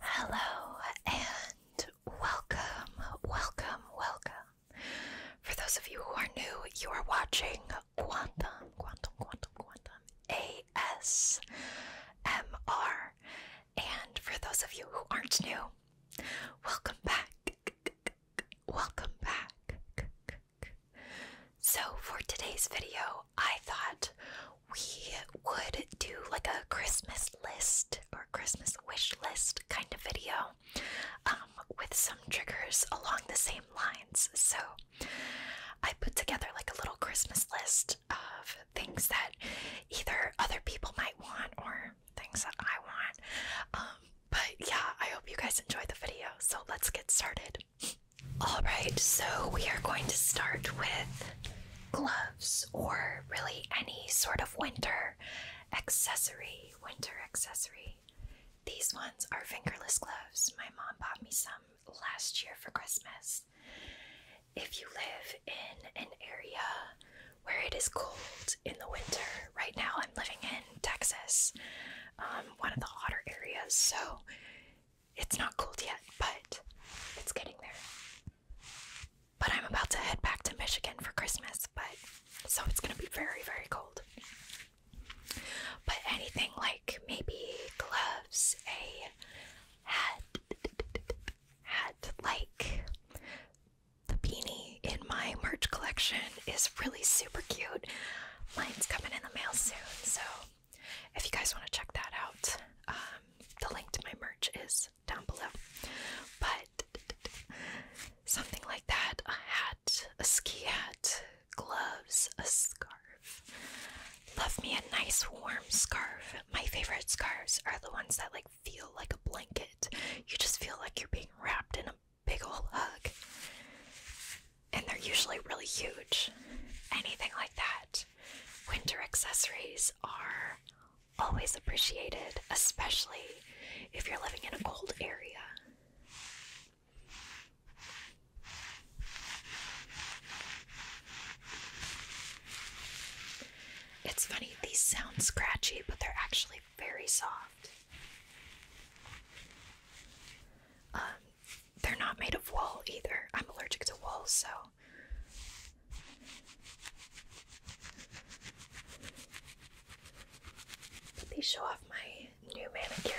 Hello and welcome, welcome, welcome. For those of you who are new, you are watching Quantum, Quantum, Quantum, Quantum ASMR. And for those of you who aren't new, welcome back. Welcome back. So, for today's video, I thought we would do like a Christmas list or Christmas wish list kind of video um, with some triggers along the same lines. So, I put together like a little Christmas list of things that either other people might want or things that I want. Um, but yeah, I hope you guys enjoyed the video. So let's get started. Alright, so we are going to start with gloves or really any sort of winter accessory. Winter accessory. These ones are fingerless gloves. My mom bought me some last year for Christmas if you live in an area where it is cold in the winter. Right now, I'm living in Texas, um, one of the hotter areas, so it's not cold yet, but it's getting there. But I'm about to head back to Michigan for Christmas, but so it's gonna be very, very cold. But anything like maybe gloves, a had had like the beanie in my merch collection is really super cute. Mine's coming in the mail soon, so if you guys want to check that out, um, the link to my merch is down below. But something like that a hat, a ski hat, gloves, a scarf, Love me a nice warm scarf. My favorite scarves are the ones that like feel like a blanket. You just feel like you're being wrapped in a big old hug. And they're usually really huge. Anything like that. Winter accessories are always appreciated, especially if you're living in a cold area. It's funny, these sound scratchy, but they're actually very soft. Um, they're not made of wool either. I'm allergic to wool, so. Let me show off my new manicure.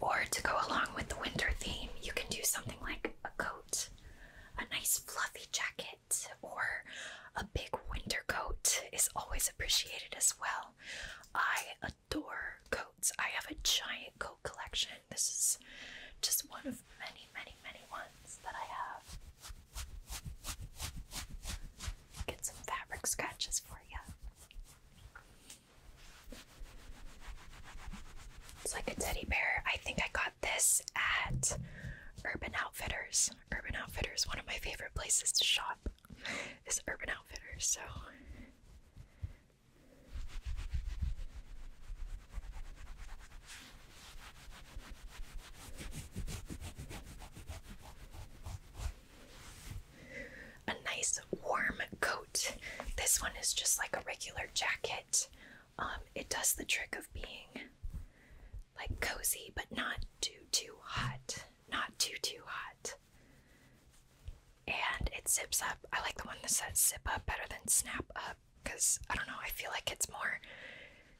Or to go along with the winter theme, you can do something like a coat, a nice fluffy jacket, or a big winter coat is always appreciated as well. I adore coats. I have a giant coat collection. This is just one of many, many, many ones that I have. Get some fabric scratches for you. It's like a teddy bear. I think I got this at Urban Outfitters. Urban Outfitters, one of my favorite places to shop is Urban Outfitters. So a nice warm coat. This one is just like a regular jacket. Um, it does the trick of being like cozy, but not too too hot. Not too too hot. And it zips up. I like the one that says zip up better than snap up because I don't know, I feel like it's more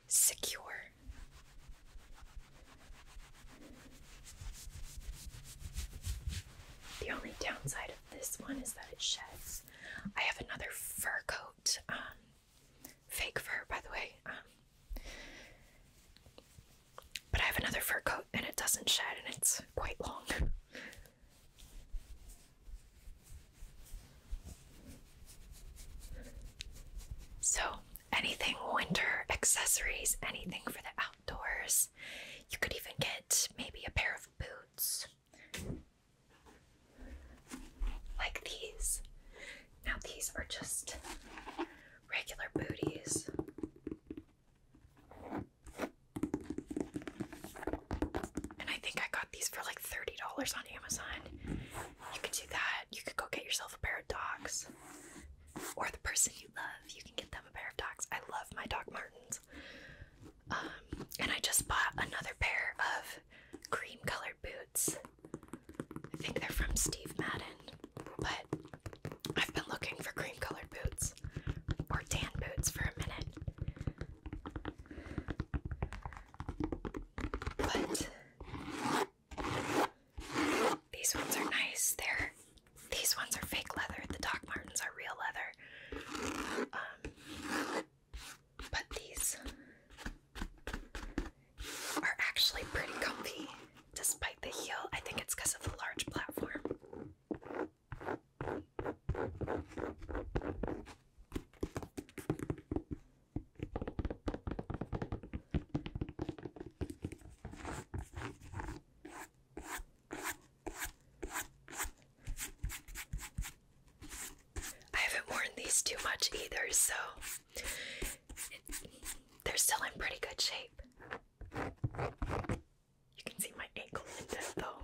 secure. The only downside of this one is that it sheds. I have another fur coat, um, fake fur, by the way. Um, but I have another fur coat and it doesn't shed and it's quite long. So, anything winter accessories, anything for the Doors. You could even get maybe a pair of boots like these. Now, these are just regular booties. And I think I got these for like $30 on Amazon. You could do that. You could go get yourself a pair of dogs. Or the person you love. You can get them a pair of dogs. I love my Doc Martens. Um, and I just bought another pair of cream colored boots. I think they're from Steve Madden, but I've been looking for cream colored boots or tan boots for a minute. But these ones are nice. They're these ones are fake leather. The Doc Martens are real leather. Um, but these are actually pretty comfy despite the heel. I think it's because of the large platform. I haven't worn these too much either, so they're still in pretty good shape. You can see my ankle in this though.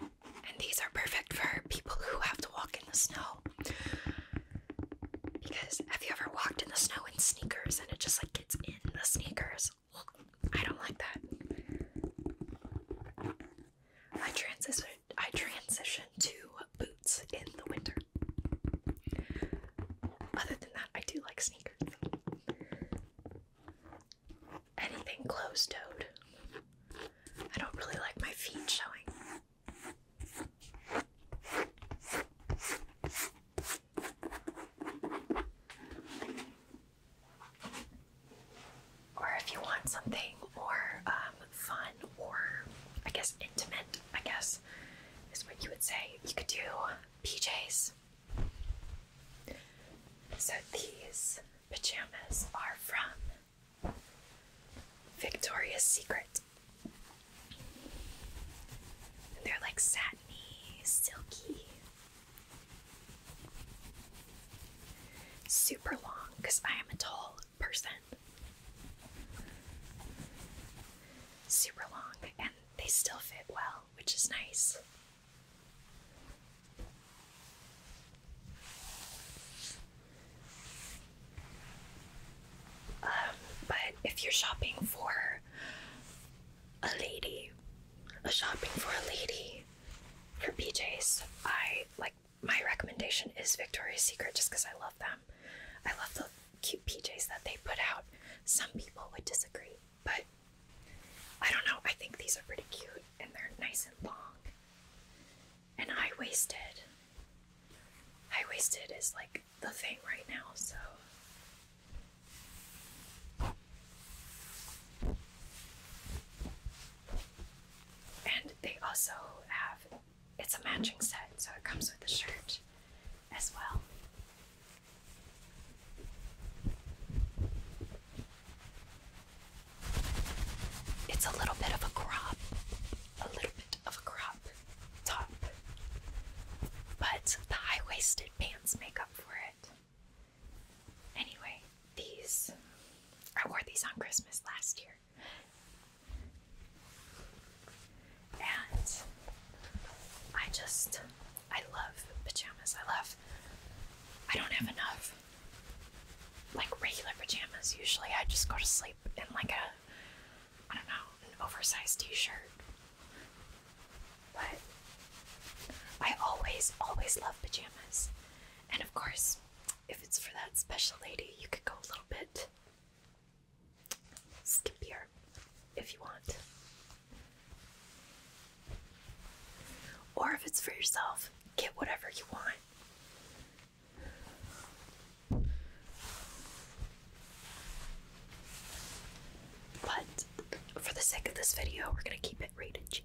And these are perfect for people who have to walk in the snow. Because have you ever walked in the snow in sneakers and it just like gets in the sneakers? I don't like that. I transition I transition to boots in the winter. Other than that, I do like sneakers anything closed toed. I don't really like my feet showing. Or if you want something more um, fun or I guess intimate, I guess is what you would say, you could do PJs. So these pajamas are from Victoria's Secret. they're like satiny, silky. Super long because I am a tall person. Super long and they still fit well, which is nice. Um, but if you're shopping for a lady, a shopping for a lady for PJs, I like my recommendation is Victoria's Secret just because I love them. I love the cute PJs that they put out. Some people would disagree, but I don't know. I think these are pretty cute and they're nice and long. And high waisted. High waisted is like the thing right now, so. And they also have it's a matching set, so it comes with the shirt as well. It's a little bit of a crop, a little bit of a crop top, but the high waisted pants make up for it. Anyway, these I wore these on Christmas last year, and I just I love pajamas, I love I don't have enough like regular pajamas. Usually I just go to sleep in like a I don't know, an oversized t-shirt. But I always, always love pajamas. And of course, if it's for that special lady, you could go a little bit skimpier if you want. Or if it's for yourself, get whatever you want. But for the sake of this video, we're going to keep it rated G.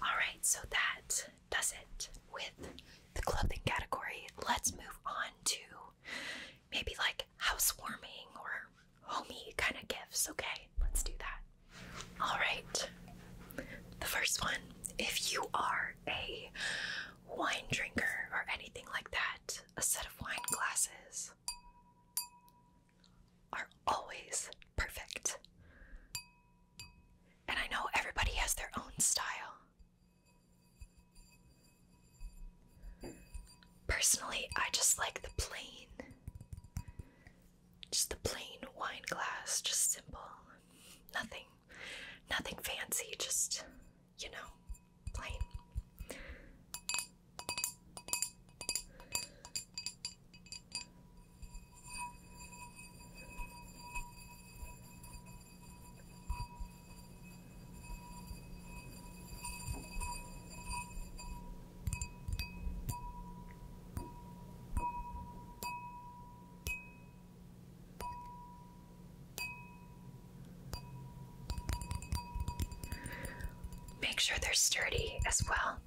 All right, so that does it with the clothing category. Let's move on to maybe like housewarming or homey kind of gifts, okay? Let's do that. All right. The first one, if you are a wine drinker or anything like that, a set of wine glasses are always perfect. And I know everybody has their own style. Personally, I just like the plain. Just the plain wine glass, just simple. Nothing. Nothing fancy, just you know, plain. Make sure they're sturdy as well.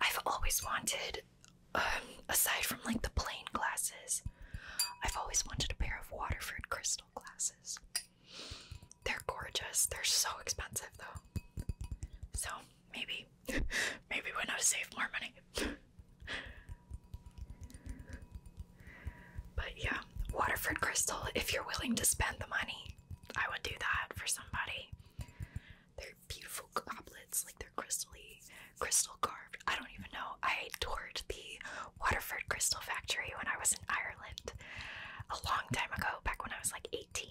I've always wanted, um, aside from like the plain glasses, I've always wanted a pair of Waterford crystal glasses. They're gorgeous. They're so expensive though. So maybe, maybe when I save more money. But yeah, Waterford Crystal, if you're willing to spend the money, I would do that for somebody. They're beautiful goblets, like they're crystally, crystal carved. I don't even know. I toured the Waterford Crystal Factory when I was in Ireland a long time ago, back when I was like 18.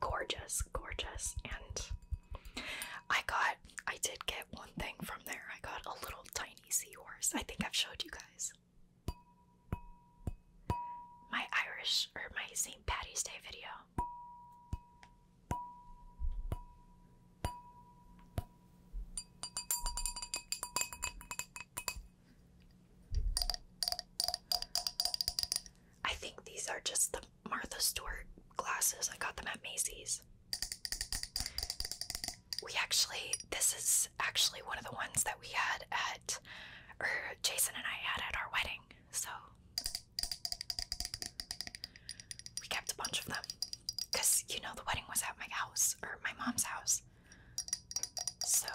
Gorgeous, gorgeous. And I got, I did get one thing from there. I got a little tiny tiny seahorse. I think I've showed you guys. My Irish or my St. Patty's Day video. I think these are just the Martha Stewart glasses. I got them at Macy's. We actually, this is actually one of the ones that we had at, or Jason and I had at our wedding. So we kept a bunch of them because you know the wedding was at my house or my mom's house. So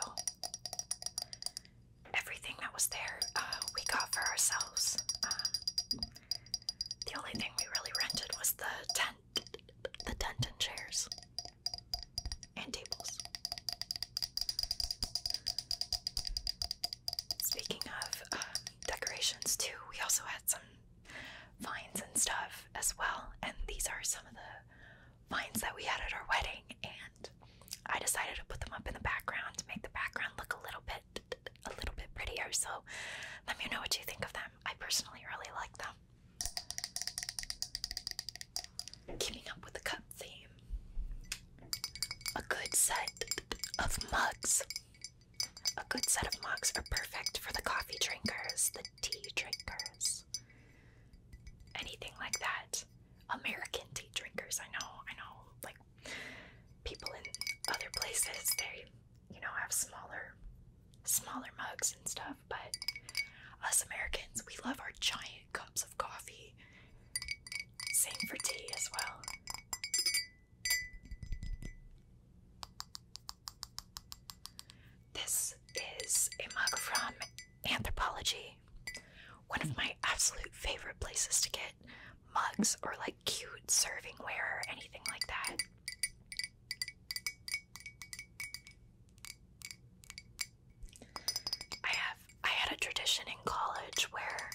everything that was there uh, we got for ourselves. Uh, the only thing we really rented was the tent the tent and chairs and tables. Speaking of um, decorations, too, we also had some vines and stuff as well, and these are some of the vines that we had at our wedding. And I decided to put them up in the background to make the background look a little bit, a little bit prettier. So let me know what you think of them. I personally really like them. Keeping up with the cup theme. A good set of mugs. A good set of mugs are perfect for the coffee drinkers, the tea drinkers, anything like that. American tea drinkers, I know, I know, like people in other places, you know, have smaller smaller mugs and stuff, but us Americans, we love our giant cups of coffee. Same for tea as well. This is a mug from Anthropology, one of my absolute favorite places to get mugs or like cute serving ware or anything like that. I have I had a tradition in college where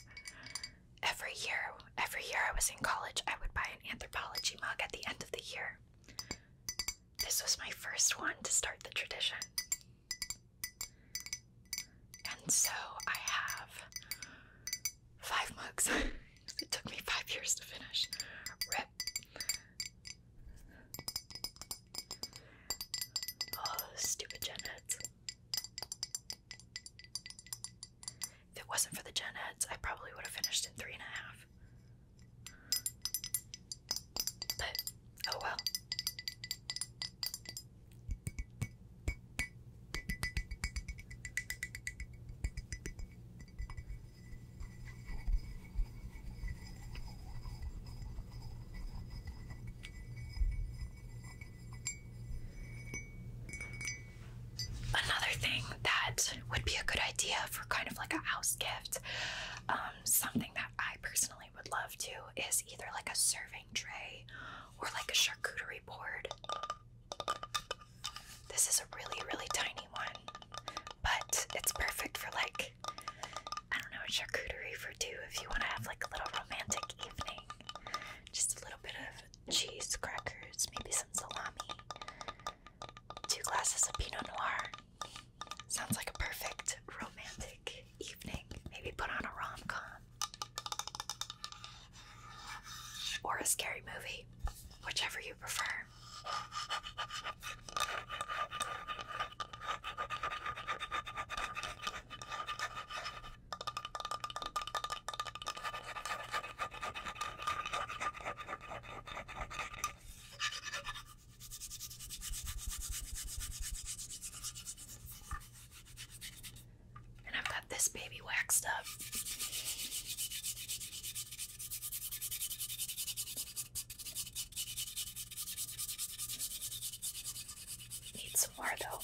every year every year I was in college I would buy an anthropology mug at the end of the year. This was my first one to start the tradition. And so I have Five mugs. it took me five years to finish. Rip. Oh, stupid gen If it wasn't for the gen I probably would have finished in three and a half. But, oh well. Another thing that would be a good idea for kind of like a house gift, um, something that I personally would love to, is either like a serving tray or like a charcuterie board. This is a really, really tiny one, but it's perfect for like, I don't know, charcuterie for two if you want to have like a little romantic evening. Just a little bit of cheese, crackers, maybe some salami, two glasses of Pinot Noir. Sounds like a perfect romantic evening. Maybe put on a rom com or a scary movie, whichever you prefer. And I've got this baby waxed up. Need some more though.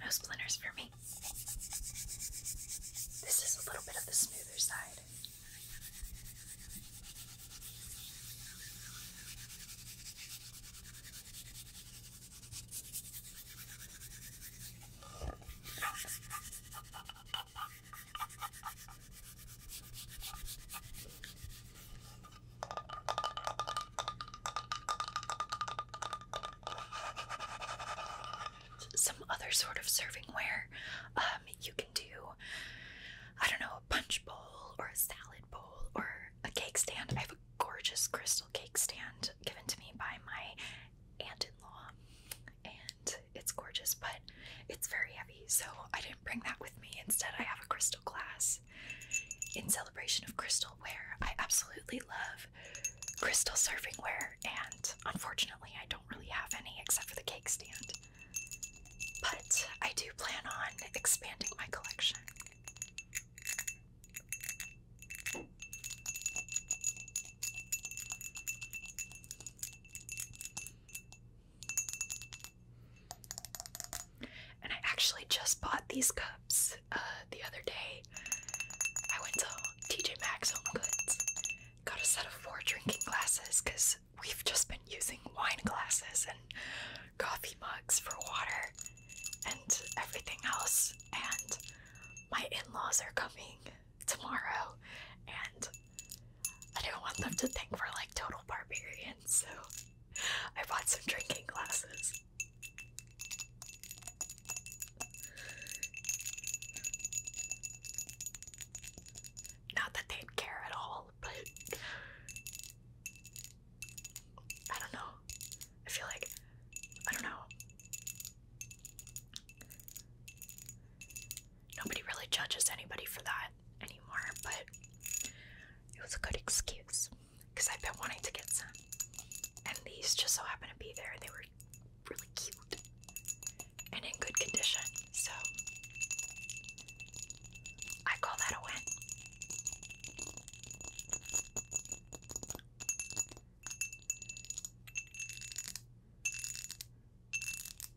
No splinters for me. This is a little bit of the smoother side. Some other sort of serving ware. Um, you can do, I don't know, a punch bowl or a salad bowl or a cake stand. I have a gorgeous crystal cake stand given to me by my aunt in law, and it's gorgeous, but it's very heavy, so I didn't bring that with me. Instead, I have a crystal glass in celebration of crystalware. I absolutely love crystal serving ware, and unfortunately, I don't really have any except for the cake stand. But I do plan on expanding my collection. And I actually just bought these cups uh, the other day. I went to TJ Maxx Home Goods, got a set of four drinking glasses because we've just been using wine glasses and coffee mugs for water and everything else. And my in laws are coming tomorrow, and I don't want them to think we're like total barbarians, so I bought some drinking glasses. Not that they care at all, but I don't know. I feel like, I don't know. Nobody really judges anybody for that anymore, but it was a good excuse because I've been wanting to get some. And these just so happened to be there. and They were really cute and in good condition. So I call that a win.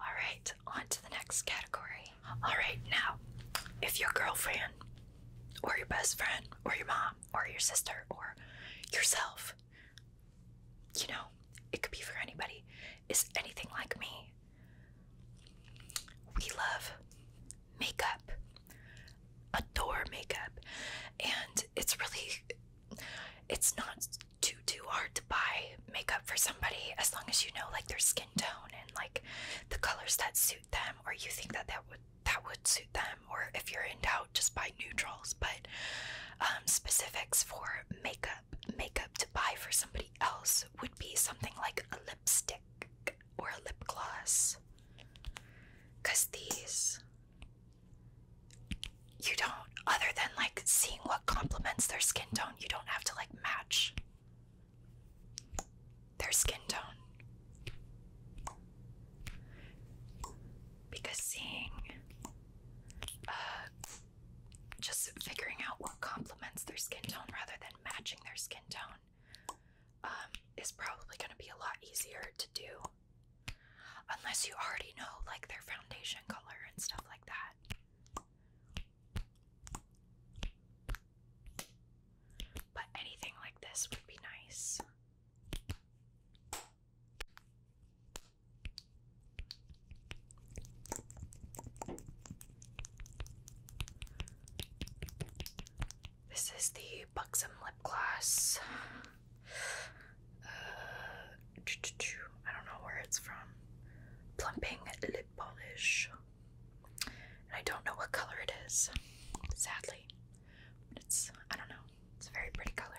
Alright, on to the next category. Alright, now, if your girlfriend, or your best friend, or your mom, or your sister, or yourself, you know, it could be for anybody, is anything like me, we love makeup, adore makeup, and it's really, it's not too too hard to buy makeup for somebody as long as you know like their skin tone and like the colors that suit them or you think that that would that would suit them or if you're in doubt just buy neutrals but um, specifics for makeup makeup to buy for somebody else would be something like a lipstick or a lip gloss because these you don't, other than like seeing what complements their skin tone, you don't have to like match their skin tone. Because seeing, uh, just figuring out what complements their skin tone rather than matching their skin tone um, is probably going to be a lot easier to do Unless you already know, like, their foundation color and stuff like that. But anything like this would be nice. This is the Buxom Lip Gloss. Uh, I don't know where it's from. Plumping lip polish. And I don't know what color it is, sadly. But it's, I don't know, it's a very pretty color.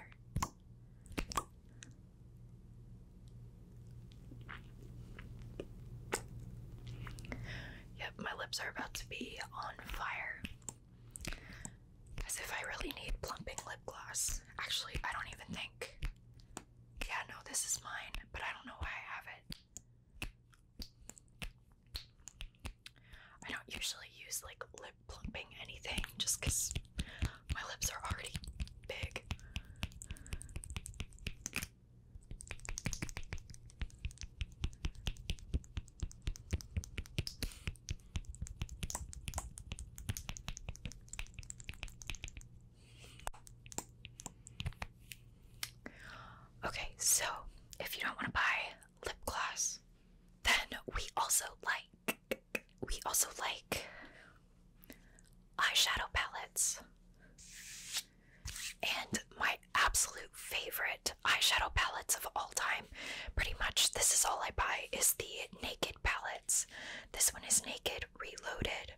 Yep, my lips are about to be on fire. As if I really need plumping lip gloss. Actually, I don't even think. Yeah, no, this is mine, but I don't know why I have it. I don't usually use like lip plumping anything just because my lips are already big. Okay, so if you don't want to buy lip gloss, then we also like we also like eyeshadow palettes. And my absolute favorite eyeshadow palettes of all time Pretty much this is all I buy is the Naked palettes. This one is Naked Reloaded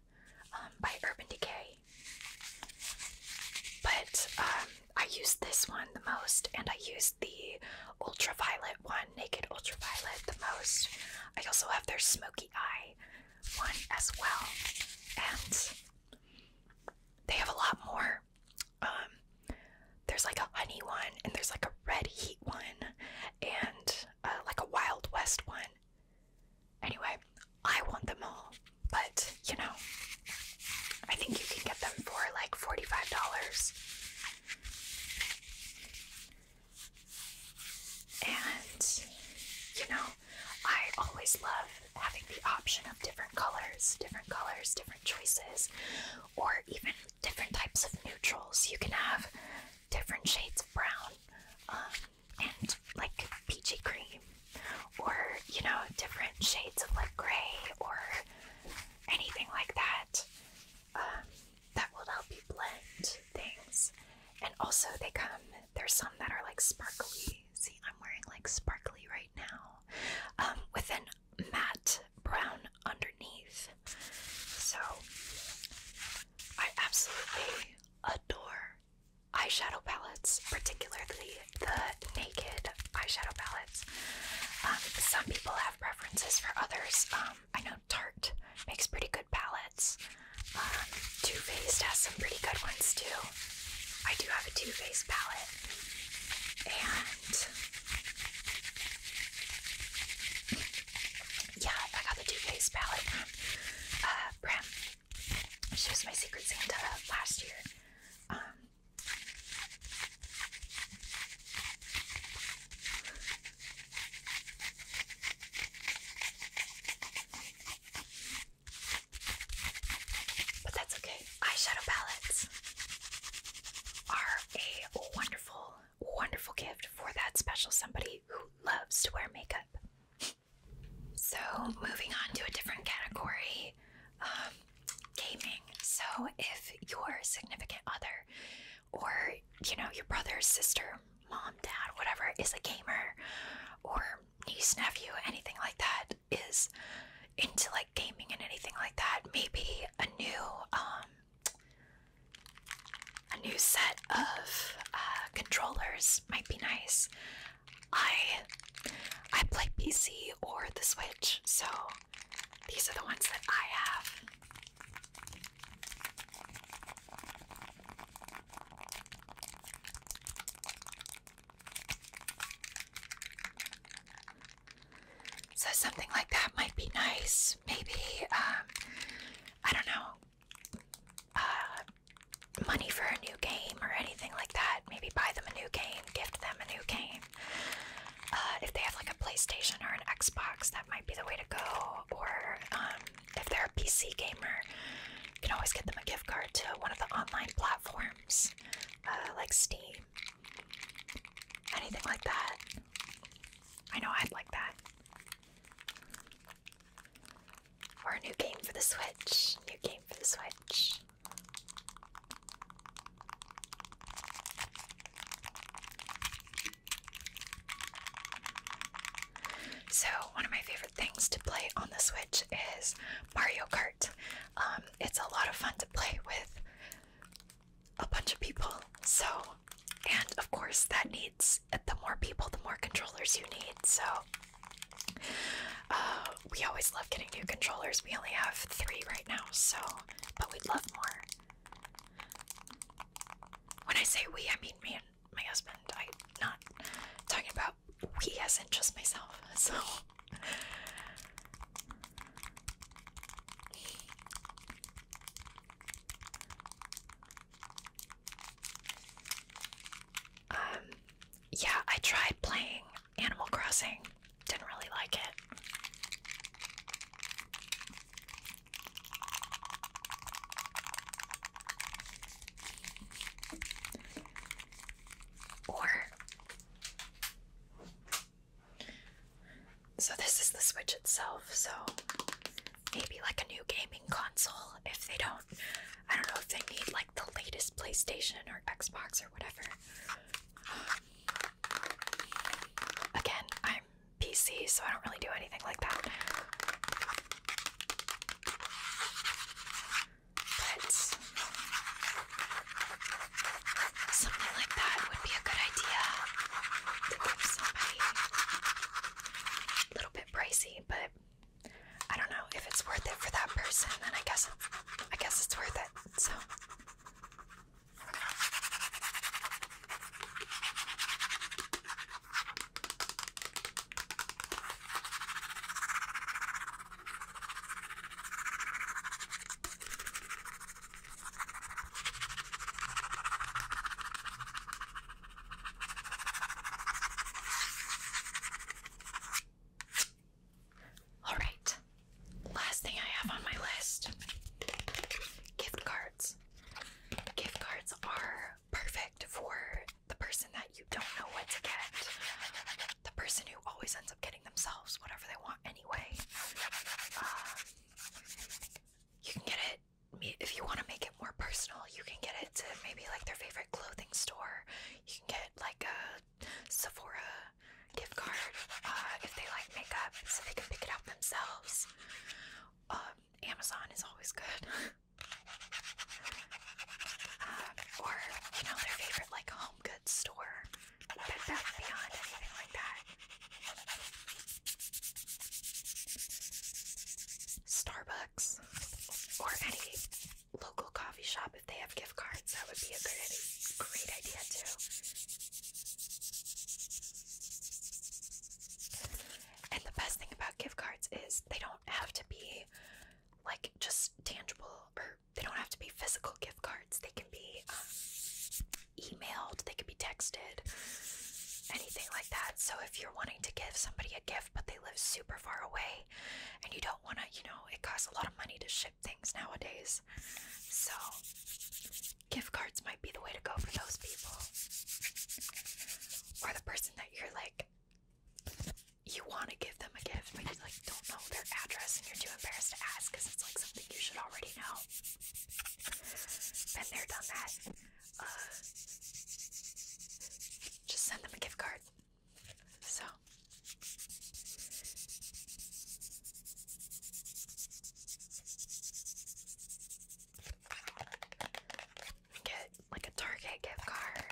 um, by Urban Decay. But um, I use this one the most and I use the ultraviolet one, Naked Ultraviolet the most. I also have their Smoky Eye one as well. And they have a lot more um, there's like a honey one, and there's like a red heat one, and uh, like a wild west one. Anyway, I want them all, but you know, I think you can get them for like $45. And you know, I always love having the option of different colors, different colors, different choices, or even different types of neutrals. You can have different shades of brown um, and like peachy cream, or you know, different shades of like gray or anything like that. Um, that will help you blend things. And also, they come, there's some that are like sparkly. See, I'm wearing like sparkly right now um, with an matte brown underneath. So I absolutely adore eyeshadow palettes, particularly the naked eyeshadow palettes. Um, some people have preferences for others. Um, I know Tarte makes pretty good palettes. Um, too Faced has some pretty good ones too. I do have a Too Faced palette. And yeah, I got the Duve's palette uh, Bram. She was my Secret Santa last year. Um, but that's okay. Eyeshadow palettes are a wonderful wonderful, gift for that special somebody who loves to wear makeup. So, moving on to a different category um, gaming. So, if your significant other or, you know, your brother, sister, mom, dad, whatever, is a gamer or niece, nephew, anything like that, is into like gaming and anything like that, maybe a new um, a new set of uh, controllers might be nice. I I play PC or the Switch, so these are the ones that I have. So something like that might be nice. Maybe um, I don't know, uh, money for a new game or anything like that. Maybe buy them a new game, gift them a new game. Uh, if they have like a PlayStation or an Xbox, that might be the way to go. Or um, if they're a PC gamer, you can always get them a gift card to one of the online platforms uh, like Steam. Anything like that. I know I'd like that. Or a new game for the Switch. New game for the Switch. So, one of my favorite things to play on the Switch is Mario Kart. Um, it's a lot of fun to play with a bunch of people. So, and of course, that needs the more people, the more controllers you need. So, uh, we always love getting new controllers. We only have three right now, so, but we'd love more. When I say we, I mean me and my husband. I'm not talking about we as in just myself. So, um, yeah, I tried playing Animal Crossing, didn't really like it. Or so this is the Switch itself. So maybe like a new gaming console if they don't. I don't know if they need like the latest PlayStation or Xbox or whatever. again, I'm PC, so I don't really do anything like that something like that would be a good idea A little bit pricey, but I don't know if it's worth it for that person. Then I guess, I guess it's worth it. So. All right. Last thing I have on my list gift cards. Gift cards are perfect for the person that you don't know what to get, the person who always ends up getting themselves whatever they want anyway. Um, you can get it if you want to make it more personal. You can get it to maybe like their favorite clothing store. You can get like a Sephora gift card uh, if they like makeup, so they can pick it out themselves. Um, Amazon is always good. Uh, or you know their favorite like home goods store but that's beyond anything like that. Starbucks or any local coffee shop if they have gift cards, that would be a great, great idea too. And the best thing about gift cards is they don't have to be like just tangible they don't have to be physical gift cards. They can be um, emailed, they can be texted, anything like that. So if you're wanting to give somebody a gift, but they live super far away, and you don't want to, you know, it costs a lot of money to ship things nowadays. So gift cards might be the way to go for those people, or the person that you're like you want to give them a gift, but you're like, don't know their address and you're too embarrassed to ask because it's like something you should already know. Been there, done that. Uh, just send them a gift card. So. Get like a Target gift card.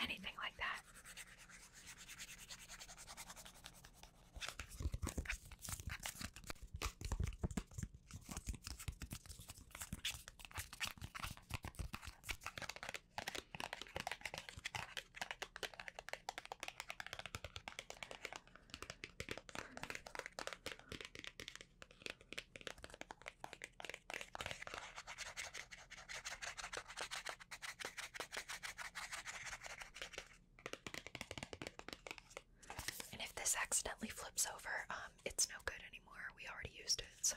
Anything like that. And if this accidentally flips over, um, it's no good anymore. We already used it, so.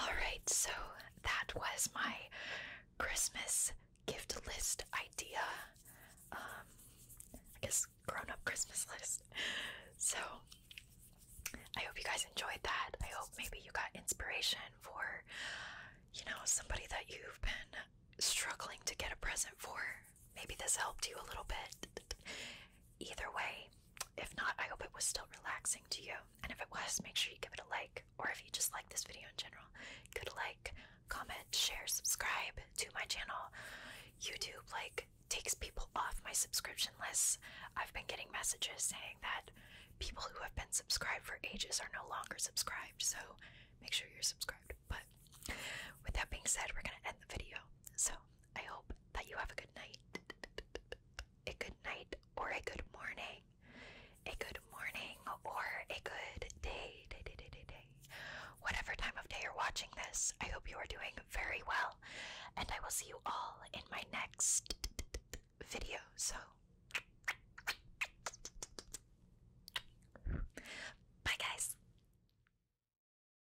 Alright, so that was my Christmas gift list idea. Um, I guess grown up Christmas list. So I hope you guys enjoyed that. I hope maybe you got inspiration for, you know, somebody that you've been struggling to get a present for. Maybe this helped you a little bit. Either way, if not, I hope it was still relaxing to you. And if it was, make sure you give it a like. Or if you just like this video in general, good like, comment, share, subscribe to my channel. YouTube, like, takes people off my subscription list. I've been getting messages saying that people who have been subscribed for ages are no longer subscribed. So make sure you're subscribed. But with that being said, we're going to end the video. So I hope that you have a good night. A good night or a good morning. A good morning or a good day. Day, day, day, day, Whatever time of day you're watching this, I hope you are doing very well. And I will see you all in my next video. So, bye, guys.